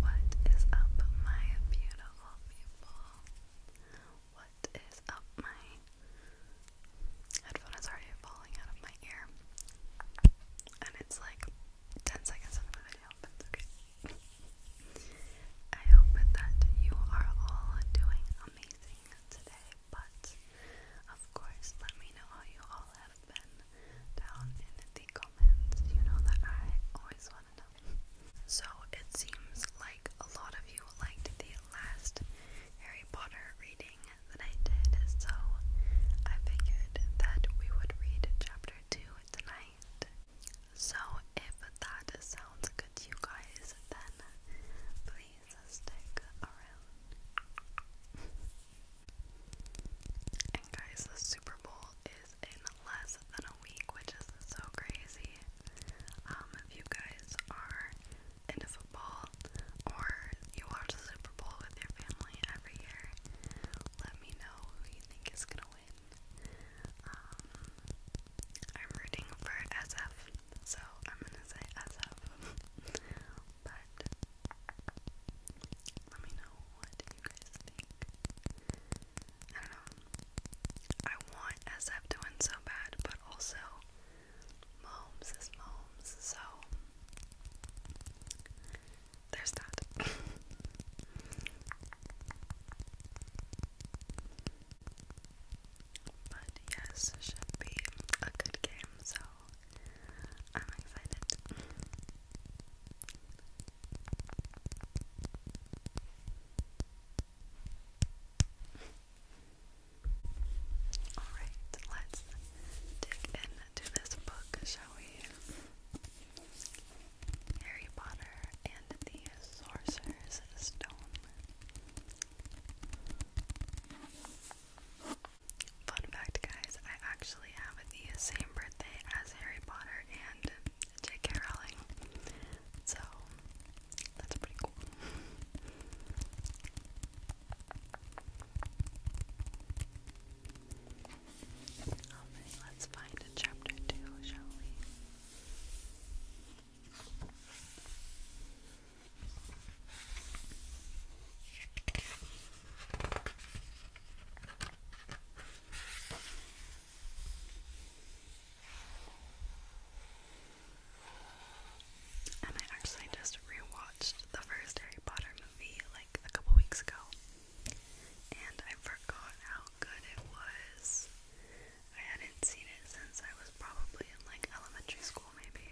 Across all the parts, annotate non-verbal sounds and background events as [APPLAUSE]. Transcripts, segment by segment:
What is up, my beautiful What is up, my headphone is already falling out of my ear, and it's like 10 seconds into the video, but it's okay. I hope that you are all doing amazing today. But of course, let me know how you all have been down in the comments. You know that I always want to know. So it seems like a lot of you liked the last Harry Potter reading that I did, so I figured that we would read chapter 2 tonight. So if that sounds good to you guys, then please is a stick around. and guys, the Super Bowl is in less than a week, which is so crazy. Um, if you guys are into football or you watch the Super Bowl with your family every year, let me know who you think is gonna win. Um, I'm rooting for SF so I'm gonna say as up. [LAUGHS] but let me know what you guys think. I don't know. I want SF to win so bad, but also Moms is Moms, so there's that. [LAUGHS] [LAUGHS] But yes, it should be a good game, so I'm excited. Alright, let's dig into this book, shall we? Harry Potter and the Sorcerer's Stone. Fun fact, guys, I actually have the same birthday as Harry Potter and J.K. Rowling, so that's pretty cool. Alright, let's find chapter two, shall we? And I actually just rewatched the first Harry Potter movie like a couple weeks ago, and I forgot how good it was. I hadn't seen it since I was probably in like elementary school, maybe.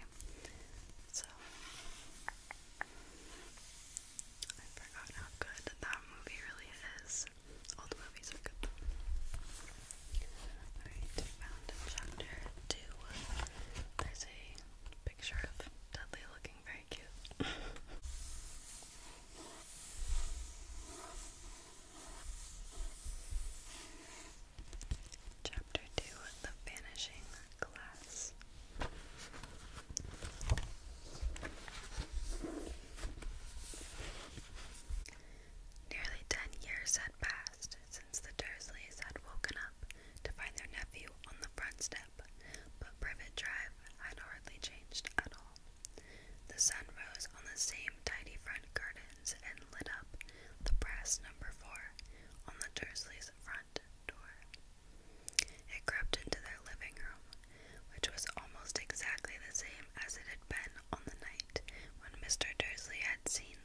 So I forgot how good that movie really is. All the movies are good. Alright, chapter two. There's a picture of Dudley looking very cute. [LAUGHS] Chapter 2 The Vanishing Glass. Nearly ten years had passed since the Dursleys had woken up to find their nephew on the front step, but Privet Drive had hardly changed at all. The sun rose on the same tidy front garden lanterns and lit up the brass number four on the Dursleys' front door. It crept into their living room, which was almost exactly the same as it had been on the night when Mr. Dursley had seen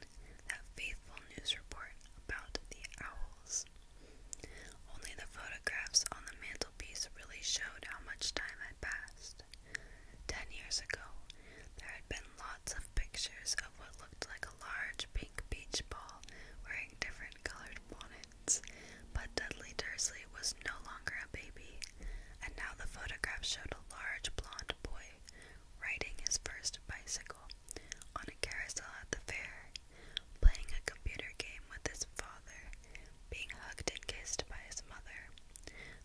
that faithful news report about the owls. Only the photographs on the mantelpiece really showed how much time had passed. Ten years ago, there had been lots of pictures of what looked like a large pink beach ball wearing different colored bonnets. But Dudley Dursley was no longer a baby, and now the photograph showed a large blond boy riding his first bicycle on a carousel at the fair, playing a computer game with his father, being hugged and kissed by his mother.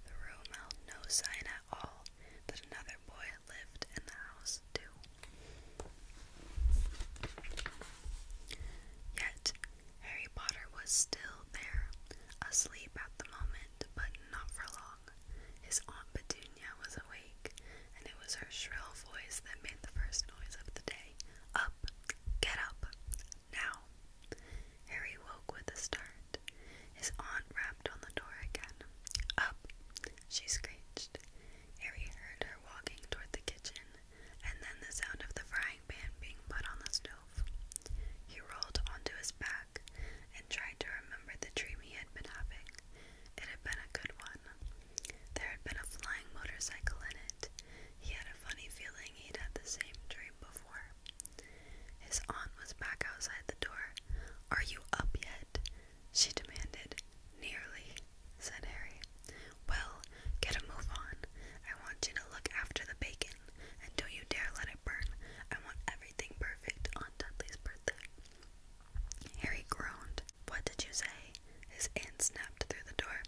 The room held no sign at all that another boy lived in the house too. Yet Harry Potter was still there, asleep at the moment, but not for long. His Aunt Petunia was awake, and it was her shrill voice that made the first noise of the day. Up! Get up! Now! Harry woke with a start. His aunt rapped on the door again. Up! she screeched. Harry heard her walking toward the kitchen, and then the sound of the frying pan being put on the stove. He rolled onto his back and tried to remember the dream he had been having. It had been a good one. There had been a flying motorcycle in it. He had a funny feeling he'd had the same dream before. His aunt was back outside the door. Are you up yet? she demanded. Nearly, said Harry. Well, get a move on. I want you to look after the bacon, and don't you dare let it burn. I want everything perfect on Dudley's birthday. Harry groaned. What did you say? His aunt snapped through the door.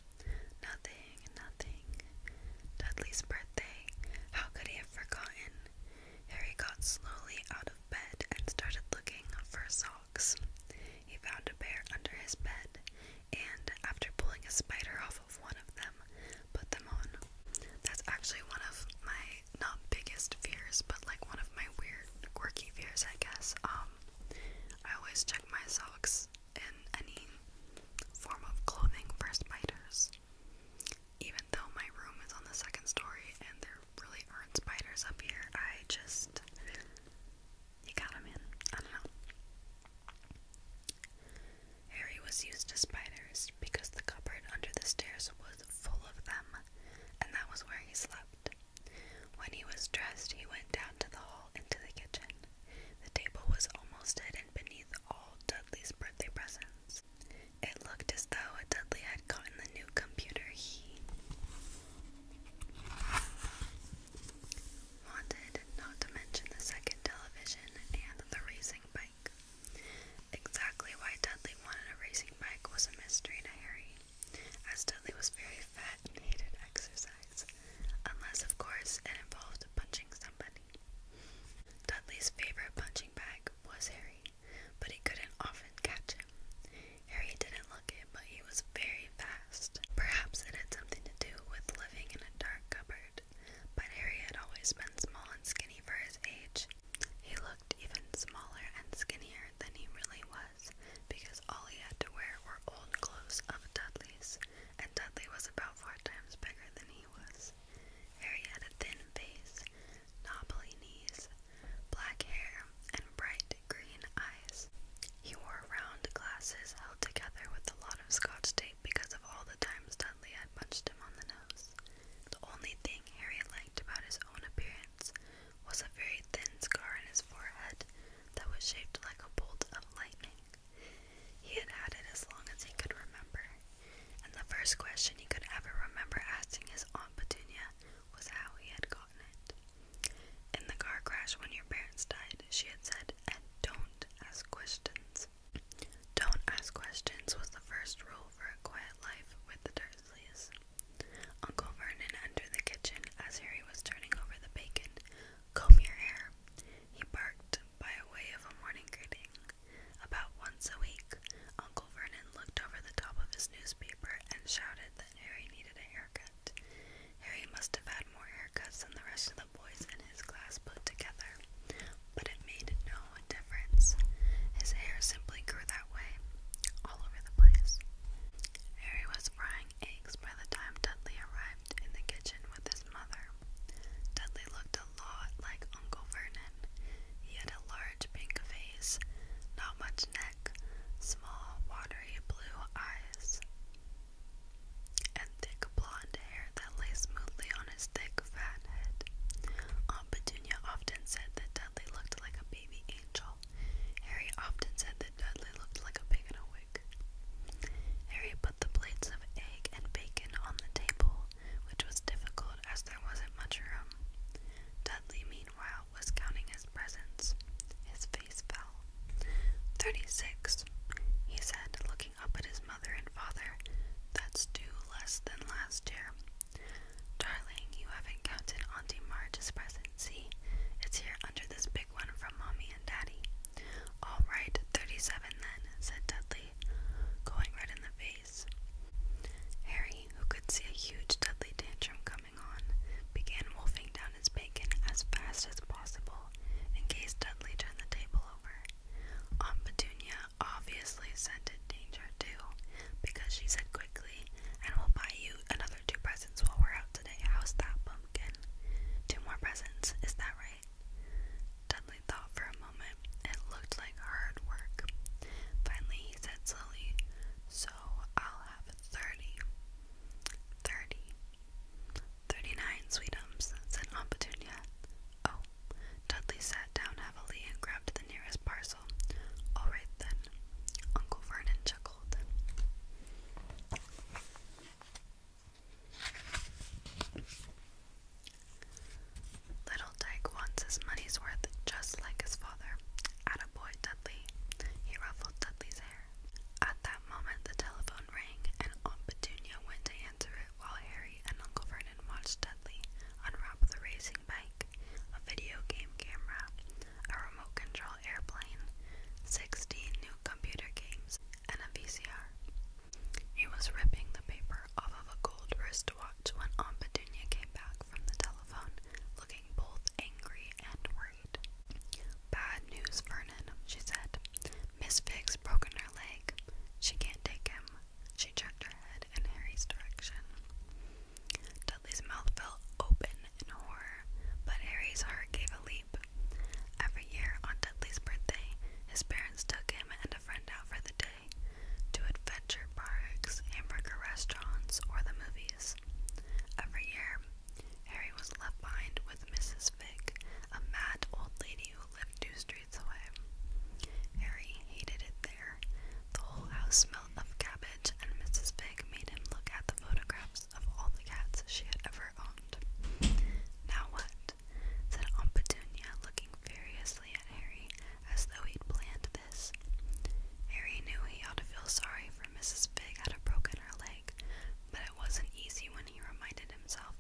Nothing, nothing. Dudley's birthday. How could he have forgotten? Harry got slowly out of bed and started looking for socks. He found a pair under his bed and, after pulling a spider off of one of them, put them on. That's actually one of my not biggest fears, but like one of my weird, quirky fears, I guess. Um, I always check my socks in any form of clothing for spiders even though my room is on the second story and there really aren't spiders up here, I just. You got him in. I don't know. Harry was used to spiders because the cupboard under the stairs was full of them, and that was where he slept. When he was dressed, he went down to the hall into the kitchen. The table was almost hidden beneath all Dudley's birthday presents. It looked as though Dudley had gotten the new computer he wanted, not to mention the second television and the racing bike. Exactly why Dudley wanted a racing bike was a mystery to Harry, as Dudley was very fat and hated exercise, unless, of course, it involved punching somebody. Dudley's favorite punching punching bag was Harry, but he couldn't often catch him. Harry didn't look it, but he was very fast. Perhaps it had something to do with living in a dark cupboard, but Harry had always been small and skinny for his age. He looked even smaller and skinnier than he really was, because all he had to wear were old clothes of Dudley's, and Dudley was about four times bigger than he was. Harry had a thin face, knobbly knees, black hair, and bright green eyes. He wore round glasses held together with a lot of scotch tape because of all the times Dudley had punched him on the nose. The only thing Harry liked about his own appearance was a very thin scar on his forehead that was shaped like a bolt of lightning. He had had it as long as he could remember, and the first question he could ever remember asking his Aunt Petunia was how he had gotten it. In the car crash when your parents died, she had said, and don't ask questions. Don't ask questions was the first rule for a quiet life with the Dursleys. Uncle Vernon entered the kitchen as Harry was turning over the bacon. Comb your hair, he barked by way of a morning greeting. About once a week, Uncle Vernon looked over the top of his newspaper and shouted that Harry needed a haircut. Harry must have had more haircuts than the rest of the boys in his class put together, but it made no difference. His hair simply grew that way, all over the place. Harry was frying eggs by the time Dudley arrived in the kitchen with his mother. Dudley looked lot like Uncle Vernon. He had a large pink face, not much neck, small, watery blue eyes, and thick blonde hair that lay smoothly on his thick, fat head. Aunt Petunia often said that Dudley looked like a baby angel. Harry often said that Dudley looked like a pig in a wig. Harry put the plates of egg and bacon on the table which was difficult as there wasn't much room. Dudley, meanwhile, was counting his presents. His face fell. Thirty six, he said, looking up at his mother and father. That's two less than last year. Darling, you haven't counted Auntie Marge's present, see? It's here under this big one from Mommy and Daddy. All right, thirty seven then, said Dudley. Dudley, going right in the face. Harry, who could see a huge Dudley tantrum coming on, began wolfing down his bacon as fast as possible in case Dudley turned the table over. Aunt Petunia obviously scented danger too, because she said quickly, and we'll buy you another two presents while we're out today. How's that, pumpkin? Two more presents, is that right? Dudley thought for a moment. It looked like hard work. Finally, he said slowly, So I'll have thirty. Thirty. Thirty-nine, sweetums, said Aunt Petunia. Oh, Dudley sat down heavily and grabbed the nearest parcel. All right then, Uncle Vernon chuckled. Little Dyke wants his money's worth just like his father. At a boy Dudley. He ruffled Dudley's hair. At that moment, the telephone rang, and Aunt Petunia went to answer it while Harry and Uncle Vernon watched Dudley unwrap the racing bike, a video game camera, a remote control airplane, 16 new computer games, and a VCR. He was ripping the paper off of a gold wristwatch when Aunt Petunia came back from the telephone, looking both angry and worried. Bad news, Vernon, she said. Miss Figg's broken her leg. She can't take him. She checked her head in Harry's direction. Dudley's mouth fell open in horror, but Harry's heart gave a leap. Every year on Dudley's birthday, his parents took him and sent a friend out for the day to adventure parks, hamburger restaurants, or the movies. Every year, Harry was left behind with Mrs. Vick, a mad old lady who lived two streets away. Harry hated it there. The whole house smelled of cabbage, and Mrs. Vick made him look at the photographs of all the cats she had ever owned. Now what? it?" said Aunt Petunia, looking furiously at Harry as though he'd planned this. Harry knew he ought to feel sorry for Mrs. Fig had broken her leg, but it wasn't easy when he reminded himself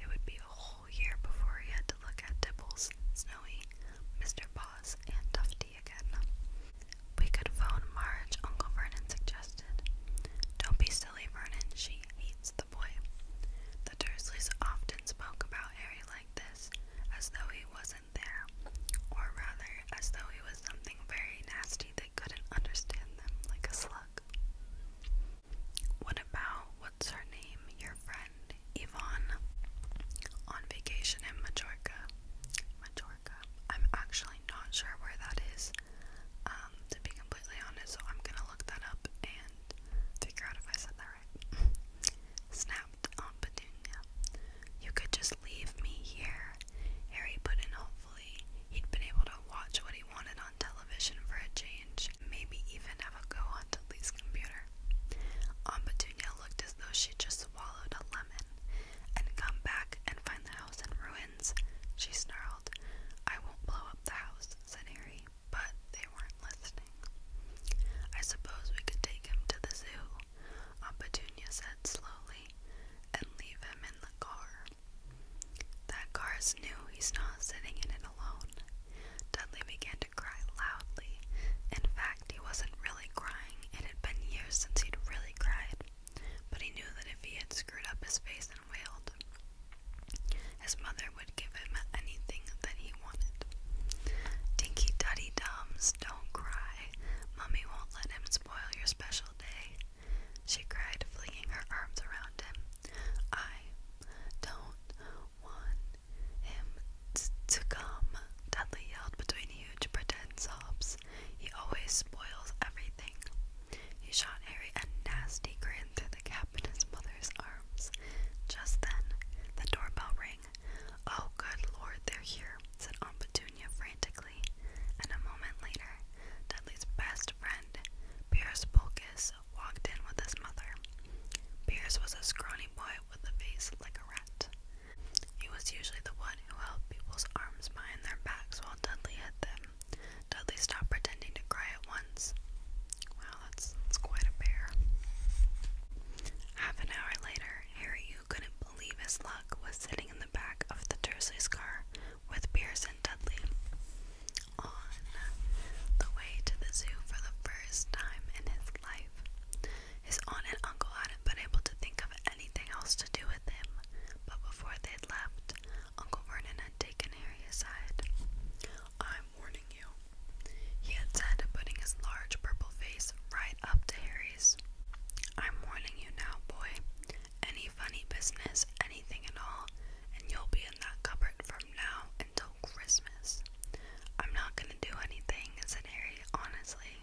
it would be a whole year before he had to look at Dibbles, Snowy, Mr. Paws, and Tufty again. We could phone Marge, Uncle Vernon suggested. Don't be silly, Vernon. She hates the a boy. The Dursleys often spoke about Harry like this, as though he wasn't there, or rather, as though he was something very nasty that couldn't understand them like a slug. What about what's her name, your friend, Yvonne, on vacation in Majorca? Majorca. I'm actually not sure where that is, um, to be completely honest, so I'm gonna look that up and Figure out if I said that right. [LAUGHS] Snapped Aunt You could just leave me here. Harry put in hopefully. He'd been able to watch what he wanted on television for a change, maybe even have a go on Dudley's computer. Aunt looked as though she'd just swallowed a lemon and come back and find the house in ruins. She snarled. I won't blow up the house, said Harry but they weren't listening. I suppose we could take him to the zoo, Aunt said slowly, and leave him in the car. That car's new, he's not sitting in it alone. Dudley began to cry loudly. In fact, he wasn't really crying. It had been years since he'd really cried, but he knew that if he had screwed up his face and wailed, his mother would give him anything that he wanted. Dinky Duddy Dums, don't cry. Mummy won't let him spoil your special day. She cried, flinging her arms around him. I don't want him to come, Dudley yelled between huge pretend sobs. He always spoils everything. He shot Harry a nasty grin through the gap up in his mother's arms. Just then, the doorbell rang. Oh, good lord, they're here, said Aunt Petunia frantically. And a moment later, Dudley's best friend, Piers Polkus, walked in with his mother. Piers was a scrawny boy with a face like a rat. He was usually the one who held people's arms behind their backs while Dudley hid them. Dudley stopped pretending to cry at once. Wow, that's, that's quite a bear. Half an hour later, Harry, who couldn't believe his luck, was sitting in the back of the Dursley's car with Pierce Dudley. On the way to the zoo for the first time in his life, his aunt and uncle hadn't been able to think of anything else to do with him, but before they left, Uncle Vernon had taken Harry aside. I'm warning you, he had said, putting his large purple face right up to Harry's. I'm warning you now, boy. Any funny business, anything at all, and you'll be in that cupboard from now until Christmas. I'm not gonna do anything, said Harry honestly,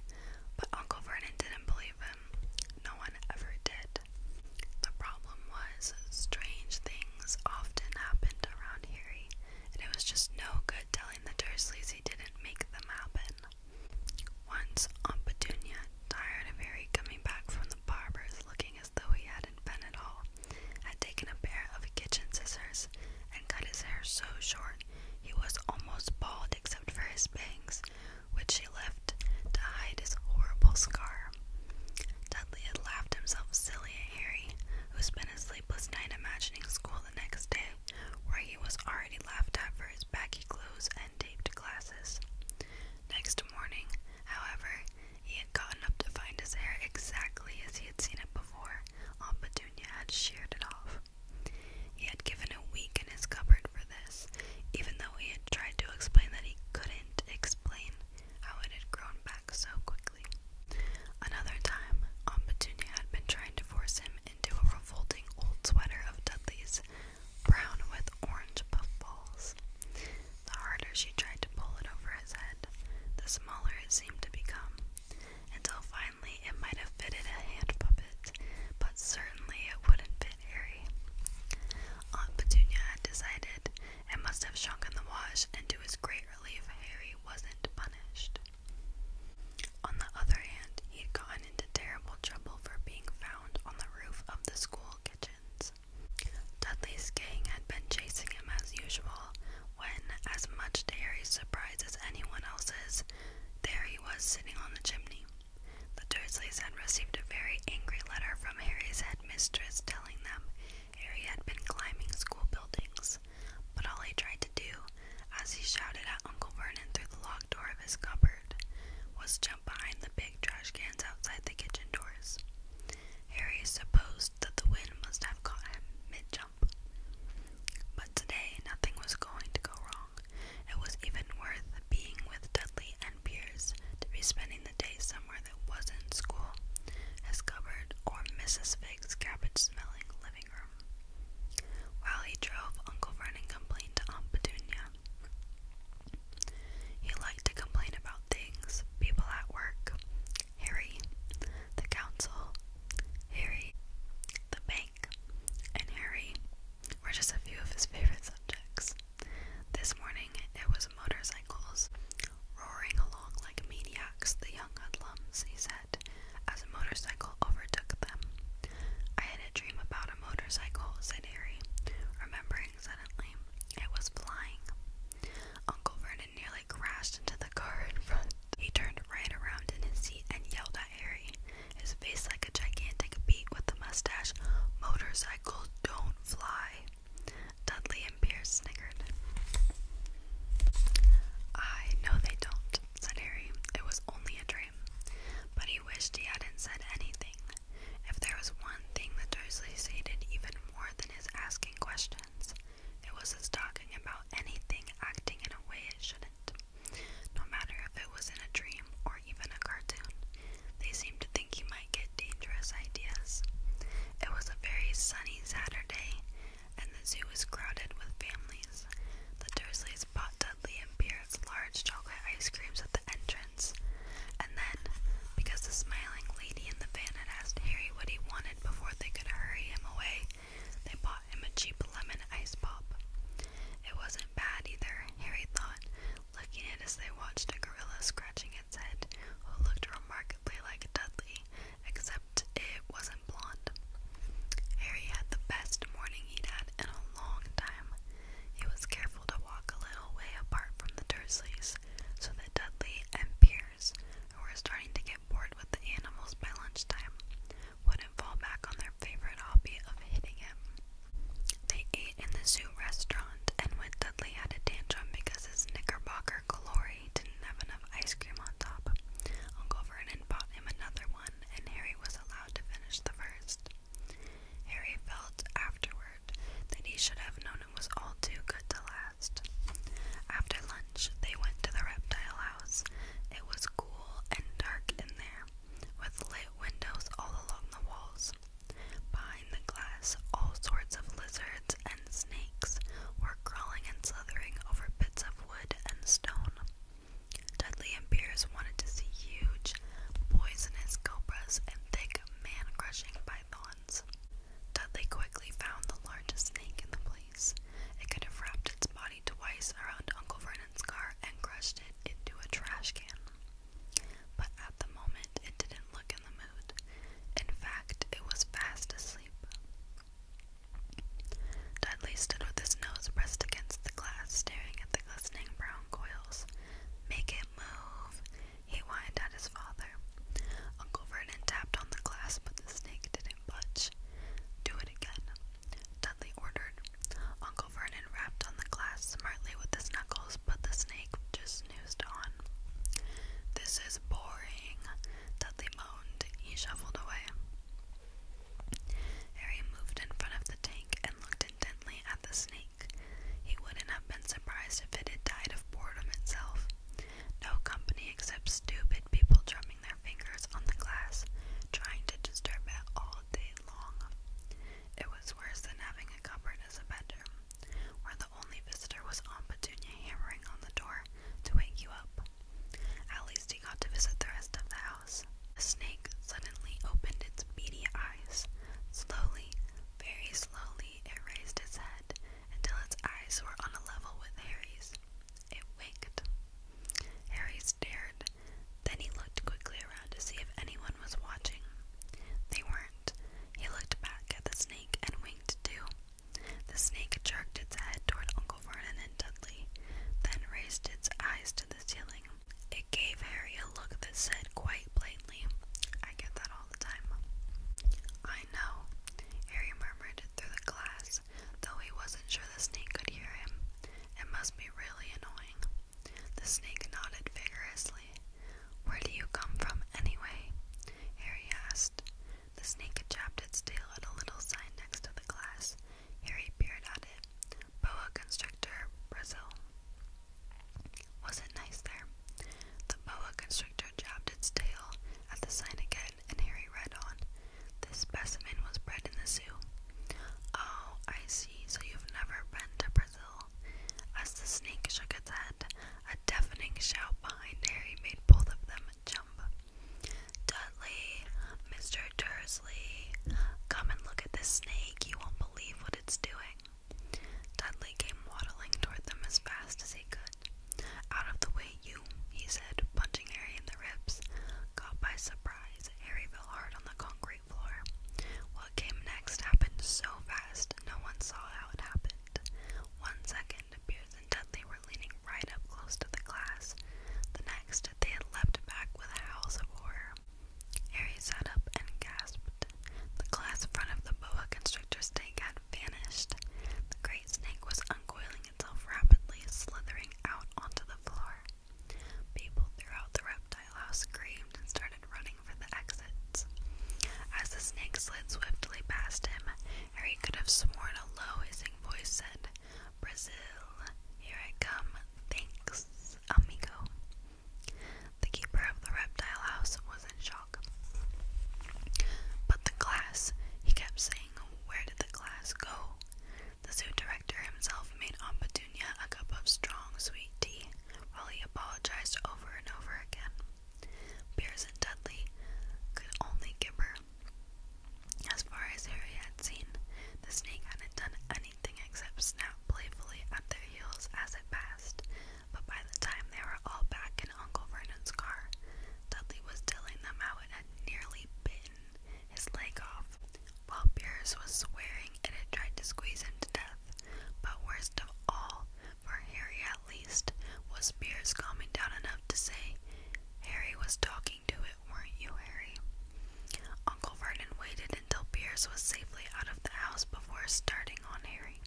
but Uncle Vernon didn't believe him. No one ever did. The problem was, strange things often happened around Harry, and it was just no good telling the Dursleys he didn't make them happen. Once, Aunt Petunia, tired of Harry coming back from the barber's looking as though he hadn't been at all, had taken a pair of kitchen scissors and cut his hair so short he was almost bald except for his bangs, which she left to hide his horrible scar. Dudley had laughed himself silly at Harry, who spent a sleepless night imagining school the next day, where he was already laughed at for his baggy clothes and taped glasses. Next morning, however, he had gotten up to find his hair exactly as he had seen it before. Aunt Petunia had sheared it off. He had given a week in his cupboard for this, even though he had tried to explain that he couldn't explain how it had grown back so quickly. Another time, Aunt Petunia had been trying to force him into a revolting old sweater of Dudley's, brown with orange puffballs. The harder she tried to pull it over his head, the smaller it seemed to become, until finally it might have fitted a hand puppet, but certainly it wouldn't fit Harry. Aunt Petunia had decided it must have shrunk in the wash, and to his great relief, Harry wasn't punished. On the other hand, he had gotten into terrible trouble for being found on the roof of the school kitchens. Dudley's gang had been chasing him as usual, when, as much to Harry's surprise as anyone else's, there he was sitting on the chimney. The Dursleys had received a very angry letter from Harry's head. Mistress, telling them Harry had been climbing school buildings, but all he tried to do, as he shouted at Uncle Vernon through the locked door of his cupboard, was jump behind the big trash cans outside the kitchen doors. Harry supposed that the wind must have caught him mid jump. But today nothing was going to go wrong. It was even worth being with Dudley and Piers to be spending the day somewhere that wasn't school, his cupboard, or Mrs. Fig's cabbage smelling living room. While he drove, Uncle Vernon complained to Aunt Petunia. He liked to complain about things, people at work, Harry, the council, Harry, the bank, and Harry were just a few of his favorite subjects. This morning it was motorcycles roaring along like maniacs, the young hoodlums, he said, as a motorcycle overtook them. I had a dream about a motorcycle, said Harry, remembering suddenly. It was flying. Uncle Vernon nearly crashed into the car in front. He turned right around in his seat and yelled at Harry, his face like a gigantic beak with a mustache, Motorcycles don't fly. Dudley and Pierce snickered. I know they don't, said Harry. It was only a dream. But he wished he hadn't said anything. If there was one thing that Dursleys hated even more than his asking questions, it was his talking about anything acting in a way it shouldn't. No matter if it was in a dream or even a cartoon, they seemed to think he might get dangerous ideas. It was a very sunny Saturday, and the zoo was crowded with families. The Dursleys bought Dudley and Pierce large chocolate ice creams at the entrance, and then, because the smiling lady in the van had asked Harry what he wanted before they could hurry him away, they bought him a cheap lemon ice pop. It wasn't bad either, Harry thought, looking at as they watched a gorilla scratching its head, who looked remarkably like Dudley, except it wasn't blonde. Harry had the best morning he'd had in a long time. He was careful to walk a little way apart from the Dursleys, so that Dudley and Piers, who were starting to get bored with the animals by lunchtime, wouldn't fall back on their favorite hobby of hitting him. They ate in the zoo restaurant, and when Dudley had a tantrum because his Knickerbocker glory didn't have enough ice cream on top, Uncle Vernon bought him another one, and Harry was allowed to finish the first. Harry felt afterward that he should have known it was all too good to last. After lunch, they went to the reptile house. It was cool and dark in there, with lit windows all along the walls. Behind the glass, all sorts of lizards and snakes were crawling and slithering over bits of wood and stone. Dudley and Pierce wanted to see huge, poisonous cobras and thick, man crushing pythons. Dudley quickly found the largest snake in the place. It could have wrapped its body twice around Uncle Vernon's car and crushed it into a trash can. But at the moment, it didn't look in the mood. In fact, it was fast asleep. Dudley stood with his nose pressed against the glass, staring at the glistening brown coils. Make it move, he whined at his father. Uncle Vernon tapped on the glass, but the snake didn't budge. Do it again, Dudley ordered. Uncle Vernon rapped on the glass smartly with his knuckles, but the snake just this is boring, Dudley moaned. He shuffled away. Harry moved in front of the tank and looked intently at the snake. He wouldn't have been surprised if it had died of boredom itself. No company except stupid people drumming their fingers on the glass, trying to disturb it all day long. It was worse than having a cupboard as a bedroom where the only visitor was Aunt Petunia hammering on the door to wake you up. At least he got to visit the rest of the house. The snake suddenly opened its beady eyes. Slowly, very slowly, it raised its head until its eyes were on a level with Harry's. It winked. Harry stared. Then he looked quickly around to see if anyone was watching. They weren't. He looked back at the snake and winked too. The snake jerked its head toward Uncle Vernon and Dudley, then raised its eyes to the ceiling. It gave Harry a look that said quite plainly, I get that all the time. I know, Harry murmured through the glass, though he wasn't sure the snake could hear him. It must be really annoying. The snake nodded vigorously, where do you come from, anyway? Harry asked. The snake had chapped its tail at a little sign next to the glass. Harry peered at it. Boa constrictor, Brazil. Was it nice there? The boa constrictor jabbed its tail at the sign again, and Harry read on. This specimen was bred in the zoo. Oh, I see. So you've never been to Brazil. As the snake shook its head, a deafening shout behind Harry made both of them jump. Dudley, Mr. Dursley, come and look at this snake. You won't believe what it's doing. Dudley came waddling toward them as fast as he could. Out of the way, you, he said, punching Harry in the ribs. Caught by surprise, Harry fell hard on the concrete what came next happened so fast, no one saw how it happened. One second, Beers and Dudley were leaning right up close to the glass. The next, they had leapt back with a howl of horror. Harry sat up and gasped. The glass front of the boa constrictor's tank had vanished. The great snake was uncoiling itself rapidly, slithering out onto the floor. People throughout the reptile reptile screamed and started running for the exits. As the snake slid swiftly past him, Harry could have sworn a low hissing voice said, Brazil, here I come, thanks, amigo. The keeper of the reptile house was in shock. But the glass he kept saying, where did the glass go? The zoo director himself made Aunt a cup of strong, sweet tea, while he apologized over and over again. Pierce Dudley could only gibber. As far as Harry had seen, the snake hadn't done anything except snap playfully at their heels as it passed, but by the time they were all back in Uncle Vernon's car, Dudley was telling them how it had nearly bitten his leg off while Pierce was swearing it had tried to squeeze him to death. But worst of all, for Harry at least, was Pierce coming down enough to say, Harry was talking to it, weren't you, Harry? Uncle Vernon waited until Pierce was safely out of the house before starting on Harry.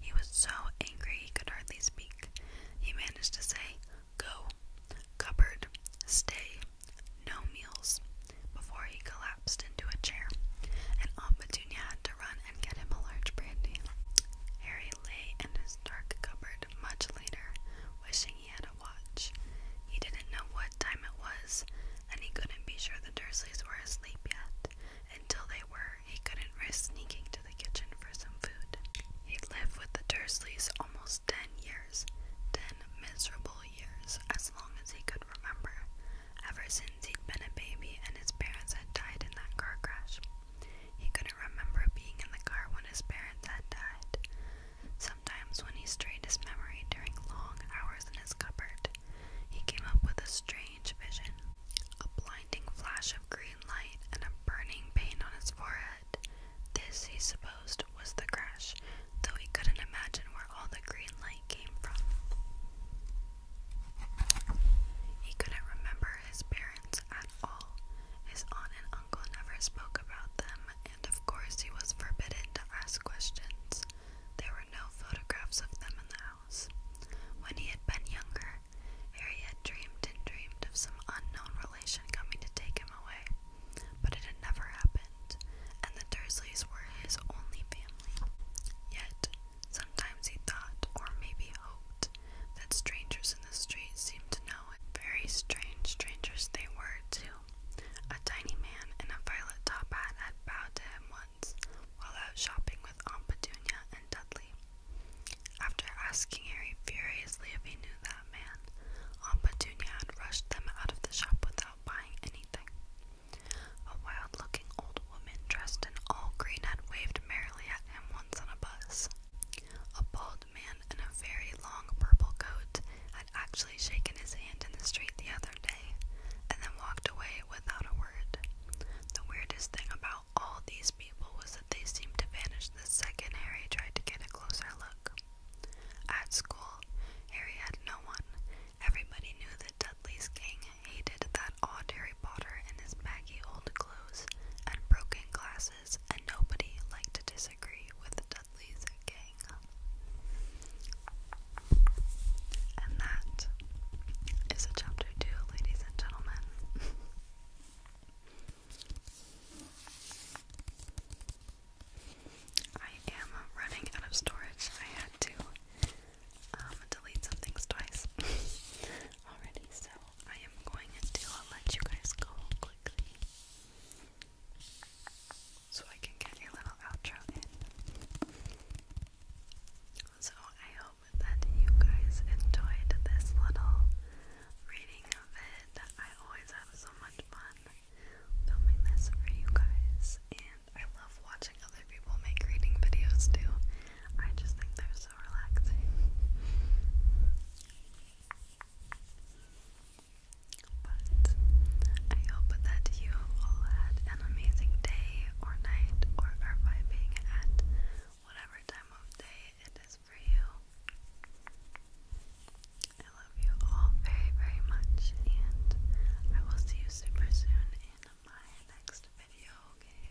He was so angry he could hardly speak. He managed to say, Go, cupboard, stay, no meals before he collapsed into a chair, and Aunt Petunia had to run and get him a large brandy. Harry lay in his dark cupboard much later, wishing he had a watch. He didn't know what time it was, and he couldn't be sure the Dursleys were asleep yet. Until they were, he couldn't risk sneaking to the kitchen for some food. He'd lived with the Dursleys almost ten years, ten miserable years, as long as he could remember ever since he'd been a baby and his parents had died in that car crash. He couldn't remember being in the car when his parents had died. Sometimes, when he strained his memory during long hours in his cupboard, he came up with a strange vision a blinding flash of green light and a burning pain on his forehead. This, he supposed, was the crash, though he couldn't imagine where all the green light came from. He couldn't remember his parents at all. His aunt and uncle never spoke about them, and of course, he was forbidden to ask questions. There were no photographs of them in the house. When he had been younger, Harry had dreamed and dreamed of some unknown relation coming to take him away, but it had never happened and the Dursleys were his only family. Yet, sometimes he thought, or maybe hoped, that strangers in the street seemed to know him. Very strange strangers they were, too. A tiny man in a violet top hat had bowed to him once while out shopping with Aunt Petunia and Dudley. After asking Harry furiously if he knew that man, Aunt Petunia had rushed them out of the shop without buying anything. A wild looking old woman dressed in all green had waved merrily at him once on a bus. A bald man in a very long purple coat had actually shaken his hand in the street the other day and then walked away without a word. The weirdest thing about all these people was that they seemed to vanish the second Harry tried to get a closer look. At school, Harry had no one, Everybody knew that Dudley's gang hated that odd Harry Potter in his baggy old clothes and broken glasses, and nobody liked to disagree with Dudley's gang. And that is chapter two, ladies and gentlemen. [LAUGHS] I am running out of storage. I had to um, delete some things twice [LAUGHS] already, so I am going to let you guys go quickly so I can get a little outro in. So I hope that you guys enjoyed this little reading of it. I always have so much fun filming this for you guys, and I love watching other people make reading videos too. I just think they're so relaxing. But I hope that you all had an amazing day or night or are vibing at whatever time of day it is for you. I love you all very, very much, and I will see you super soon in my next video, okay?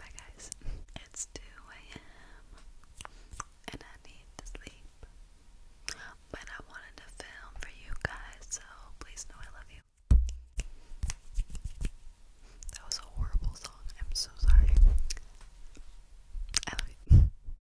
Bye, guys. It's 2 a.m., and I need to sleep. But I wanted to film for you guys, so please know I love you. That was a horrible song. I'm so sorry. I love you.